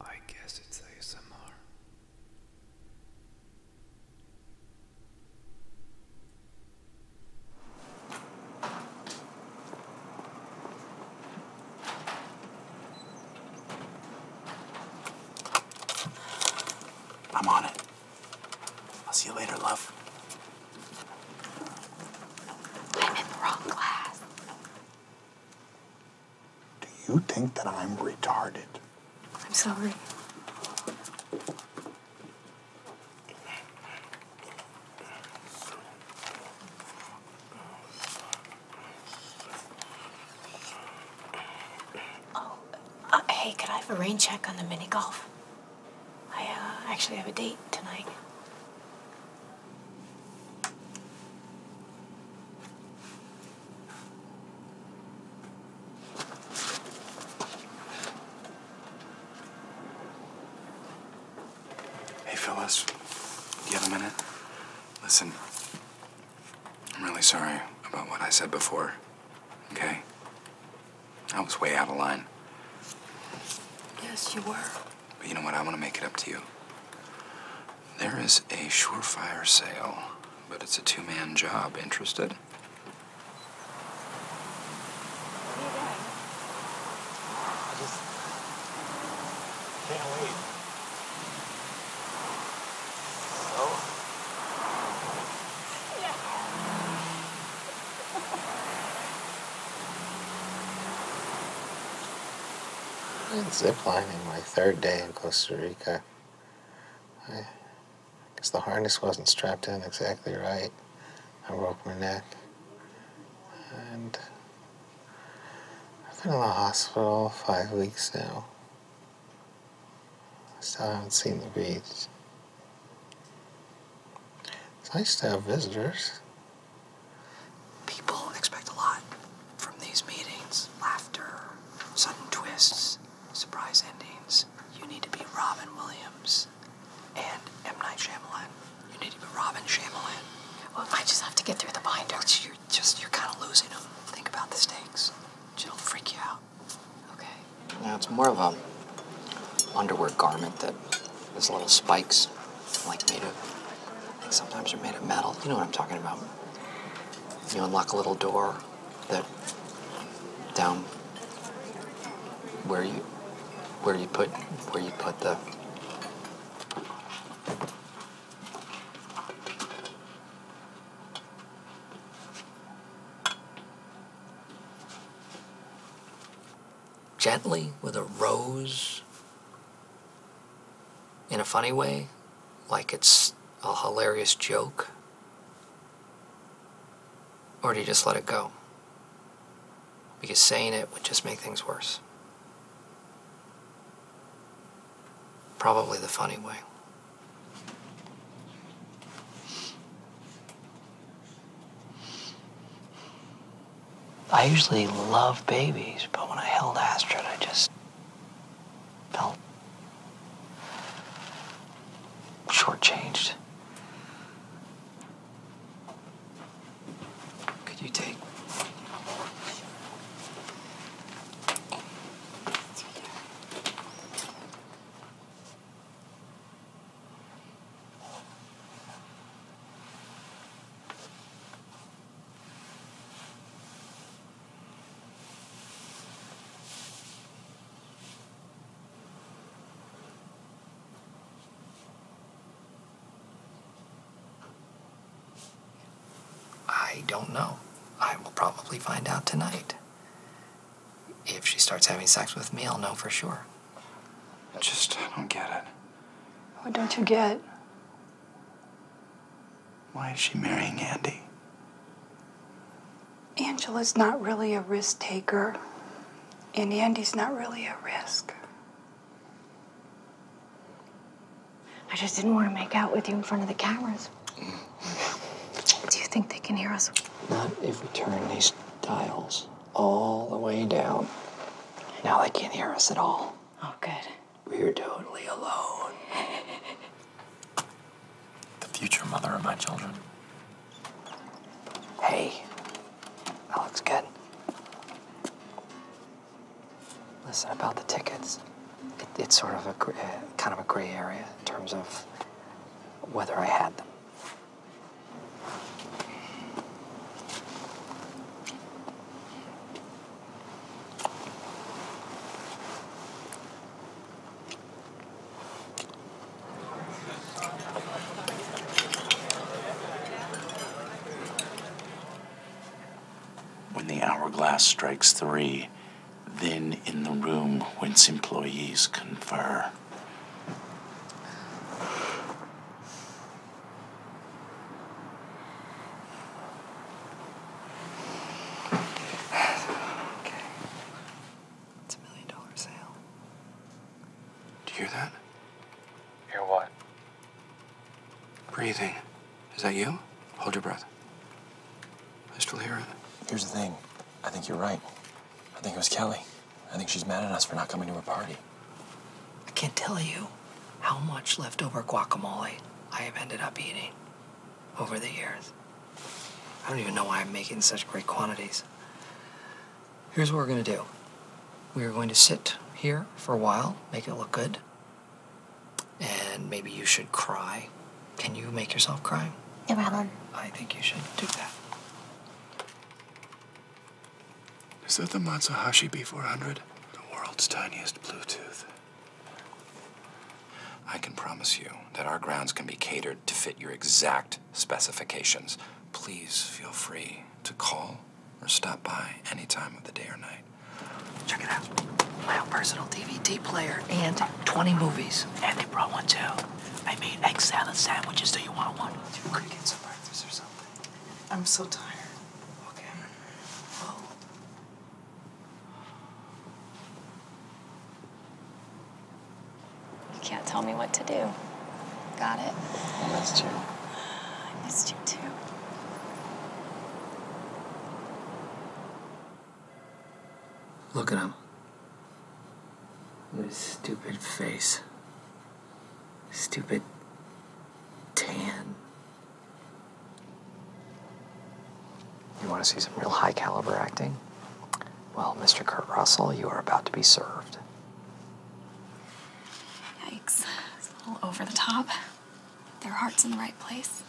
I guess it's ASMR. I'm on it. I'll see you later, love. I'm in the wrong class. Do you think that I'm retarded? I'm sorry. Oh, uh, hey, could I have a rain check on the mini golf? I uh, actually have a date tonight. Hey, Phyllis. You have a minute? Listen, I'm really sorry about what I said before, okay? I was way out of line. Yes, you were. But you know what? I want to make it up to you. There is a surefire sale, but it's a two man job. Interested? I just can't wait. So? Yeah. I did ziplining my third day in Costa Rica. I guess the harness wasn't strapped in exactly right. I broke my neck. And I've been in the hospital five weeks now. I still haven't seen the beach. It's nice to have visitors. People expect a lot from these meetings laughter, sudden twists, surprise endings. You need to be Robin Williams and M. Night Shyamalan. You need to be Robin Shyamalan. Well, I just have to get through the binder. you're just, you're kind of losing them. Think about the stakes. It'll freak you out. Okay. Now it's more of a underwear garment that has little spikes, like made of, I think sometimes they're made of metal. You know what I'm talking about. You unlock a little door that down where you where you put where you put the gently with a rose in a funny way, like it's a hilarious joke? Or do you just let it go? Because saying it would just make things worse. Probably the funny way. I usually love babies, but when I held Astrid, I just felt shortchanged. Could you take? I don't know. I will probably find out tonight. If she starts having sex with me, I'll know for sure. I just I don't get it. What don't you get? Why is she marrying Andy? Angela's not really a risk taker, and Andy's not really a risk. I just didn't want to make out with you in front of the cameras. Mm. Do you think they can hear us? Not if we turn these dials all the way down. Now they can't hear us at all. Oh, good. We're totally alone. the future mother of my children. Hey, that looks good. Listen about the tickets. it's sort of a kind of a gray area in terms of whether I had them. When the hourglass strikes three, then in the room whence employees confer. Okay. It's a million dollar sale. Do you hear that? Hear what? Breathing. Is that you? Hold your breath. I still hear it. Here's the thing. I think you're right. I think it was Kelly. I think she's mad at us for not coming to her party. I can't tell you how much leftover guacamole I have ended up eating over the years. I don't even know why I'm making such great quantities. Here's what we're going to do we are going to sit here for a while, make it look good, and maybe you should cry. Can you make yourself cry? No problem. I think you should do that. Is that the Matsuhashi B400? The world's tiniest Bluetooth. I can promise you that our grounds can be catered to fit your exact specifications. Please feel free to call or stop by any time of the day or night. Check it out. My personal DVD player and 20 movies. And they brought one too. I made egg salad sandwiches. Do you want one? You could or something. I'm so tired. you can't tell me what to do. Got it? I missed you. I missed you too. Look at him. His stupid face. Stupid tan. You want to see some real high caliber acting? Well, Mr. Kurt Russell, you are about to be served. Yikes. It's a little over the top. Their heart's in the right place.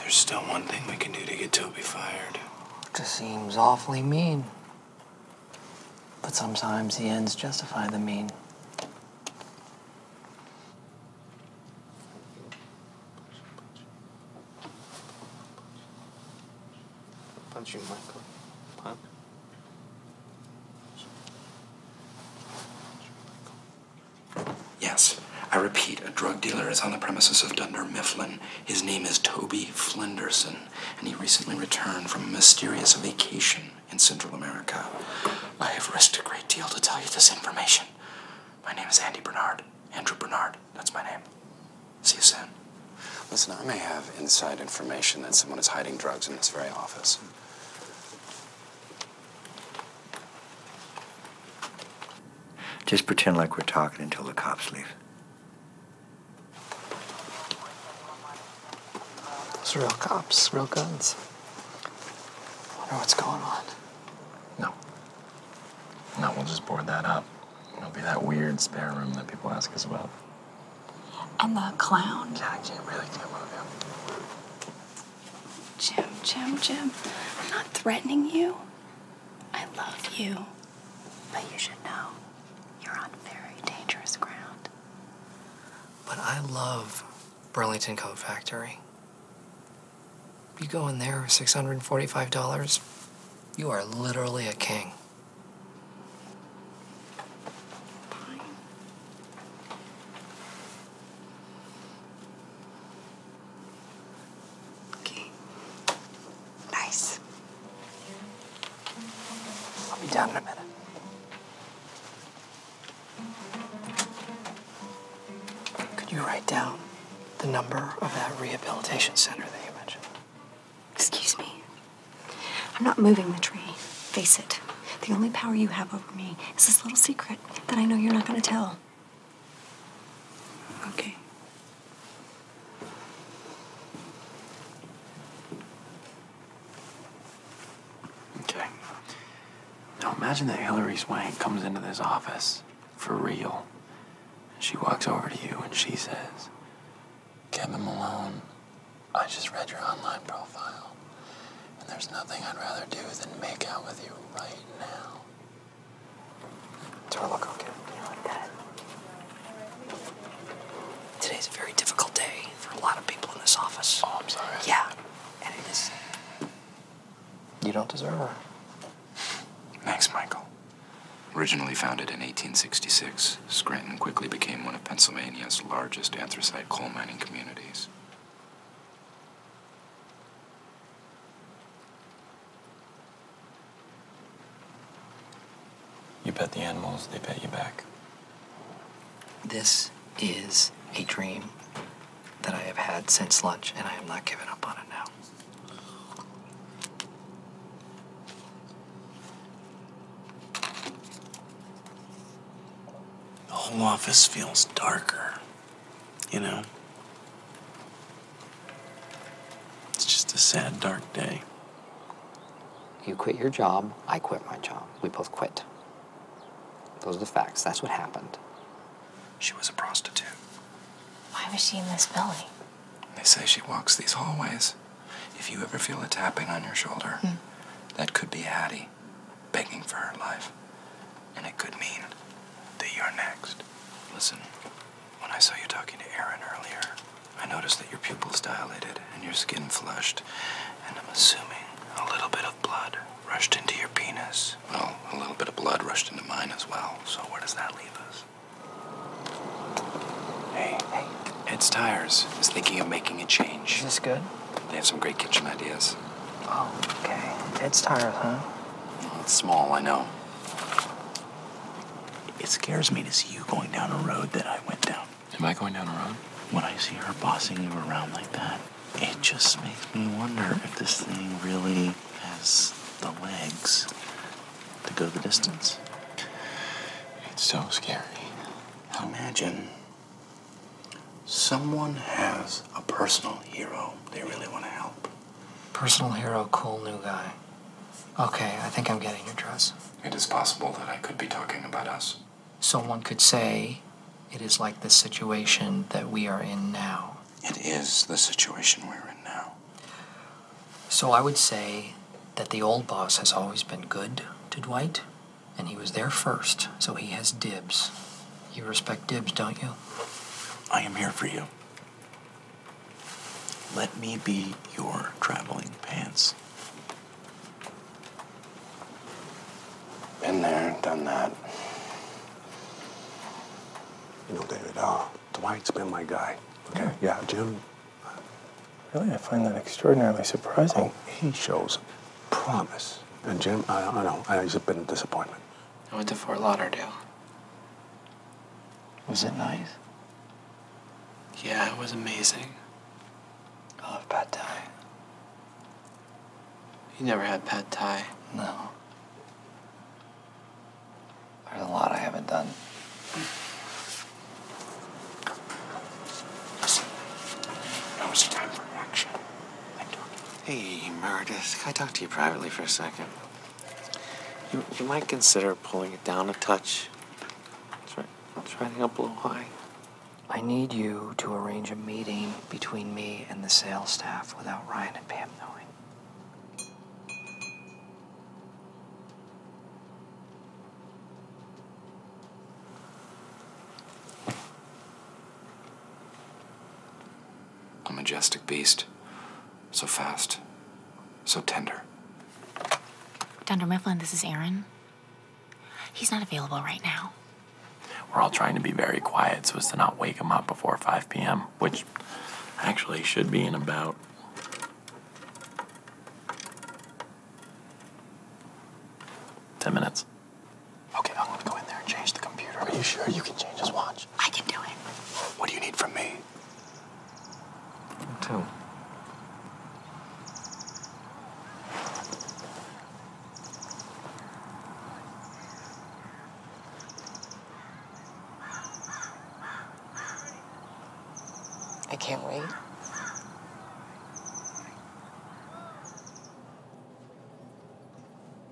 There's still one thing we can do to get Toby fired. Just seems awfully mean. But sometimes the ends justify the mean. Punch you, Michael. Punch. Yes, I repeat, a drug dealer is on the premises of Dunder Mifflin. His name is Toby Flenderson, and he recently returned from a mysterious vacation in Central America. I have risked a great deal to tell you this information. My name is Andy Bernard. Andrew Bernard, that's my name. See you soon. Listen, I may have inside information that someone is hiding drugs in this very office. Just pretend like we're talking until the cops leave. It's real cops, real guns. I wonder what's going on. No. No, we'll just board that up. It'll be that weird spare room that people ask us about. And the clown. I can really can't him. Jim, Jim, Jim, I'm not threatening you. I love you. But you should know you're on very dangerous ground. But I love Burlington Coat Factory. You go in there with $645, you are literally a king. Fine. Okay. Nice. I'll be down in a minute. Could you write down the number of that rehabilitation center that you mentioned? Excuse me. I'm not moving the tree. Face it. The only power you have over me is this little secret that I know you're not going to tell. Okay. Okay. Now imagine that Hillary Swank comes into this office for real. And she walks over to you and she says, Kevin Malone, I just read your online profile. And there's nothing I'd rather do than make out with you right now. Do I look okay? You look Today's a very difficult day for a lot of people in this office. Oh, I'm sorry. Yeah, and it is. You don't deserve her. Thanks, Michael. Originally founded in 1866, Scranton quickly became one of Pennsylvania's largest anthracite coal mining communities. You pet the animals, they pet you back. This is a dream that I have had since lunch, and I am not giving up on it now. The whole office feels darker. You know? It's just a sad, dark day. You quit your job, I quit my job. We both quit. Those are the facts. That's what happened. She was a prostitute. Why was she in this building? They say she walks these hallways. If you ever feel a tapping on your shoulder, hmm. that could be Hattie begging for her life, and it could mean that you're next. Listen, when I saw you talking to Aaron earlier, I noticed that your pupils dilated and your skin flushed, and I'm assuming a little bit of blood rushed into your penis. Well, a little bit of blood rushed into mine as well, so where does that leave us? Hey. Hey. Ed's Tires is thinking of making a change. Is this good? They have some great kitchen ideas. Oh, okay. Dead tiresome. it's small, I know. It scares me to see you going down a road that I went down. Am I going down a road? When I see her bossing you around like that, it just makes me wonder if this thing really has the legs to go the distance. It's so scary. Imagine someone has a personal hero they really want to help. Personal hero, cool new guy. Okay, I think I'm getting your dress. It is possible that I could be talking about us. Someone could say it is like the situation that we are in now. It is the situation we're in now. So I would say that the old boss has always been good to Dwight, and he was there first, so he has dibs. You respect Dibs, don't you? I am here for you. Let me be your traveling pants. Been there, done that. You know, David, uh, Dwight's been my guy. Okay, yeah, Jim. Really, I find that extraordinarily surprising. Oh, he shows promise. And Jim, I, know, I know he's been a disappointment. I went to Fort Lauderdale. Was it nice? Yeah, it was amazing. I love pad thai. You never had pad thai? No. There's a lot I haven't done. it's time for action. Hey, Meredith, can I talk to you privately for a second? You, you might consider pulling it down a touch. Try, try to up a little high. I need you to arrange a meeting between me and the sales staff without Ryan and Pam knowing a majestic beast, so fast, so tender. Dunder Mifflin, this is Aaron. He's not available right now. We're all trying to be very quiet so as to not wake him up before 5 p.m., which actually should be in about. Ten minutes. Okay, I'm gonna go in there and change the computer. Are you sure you can change his watch? I can do it. What do you need from me? Two. I can't wait.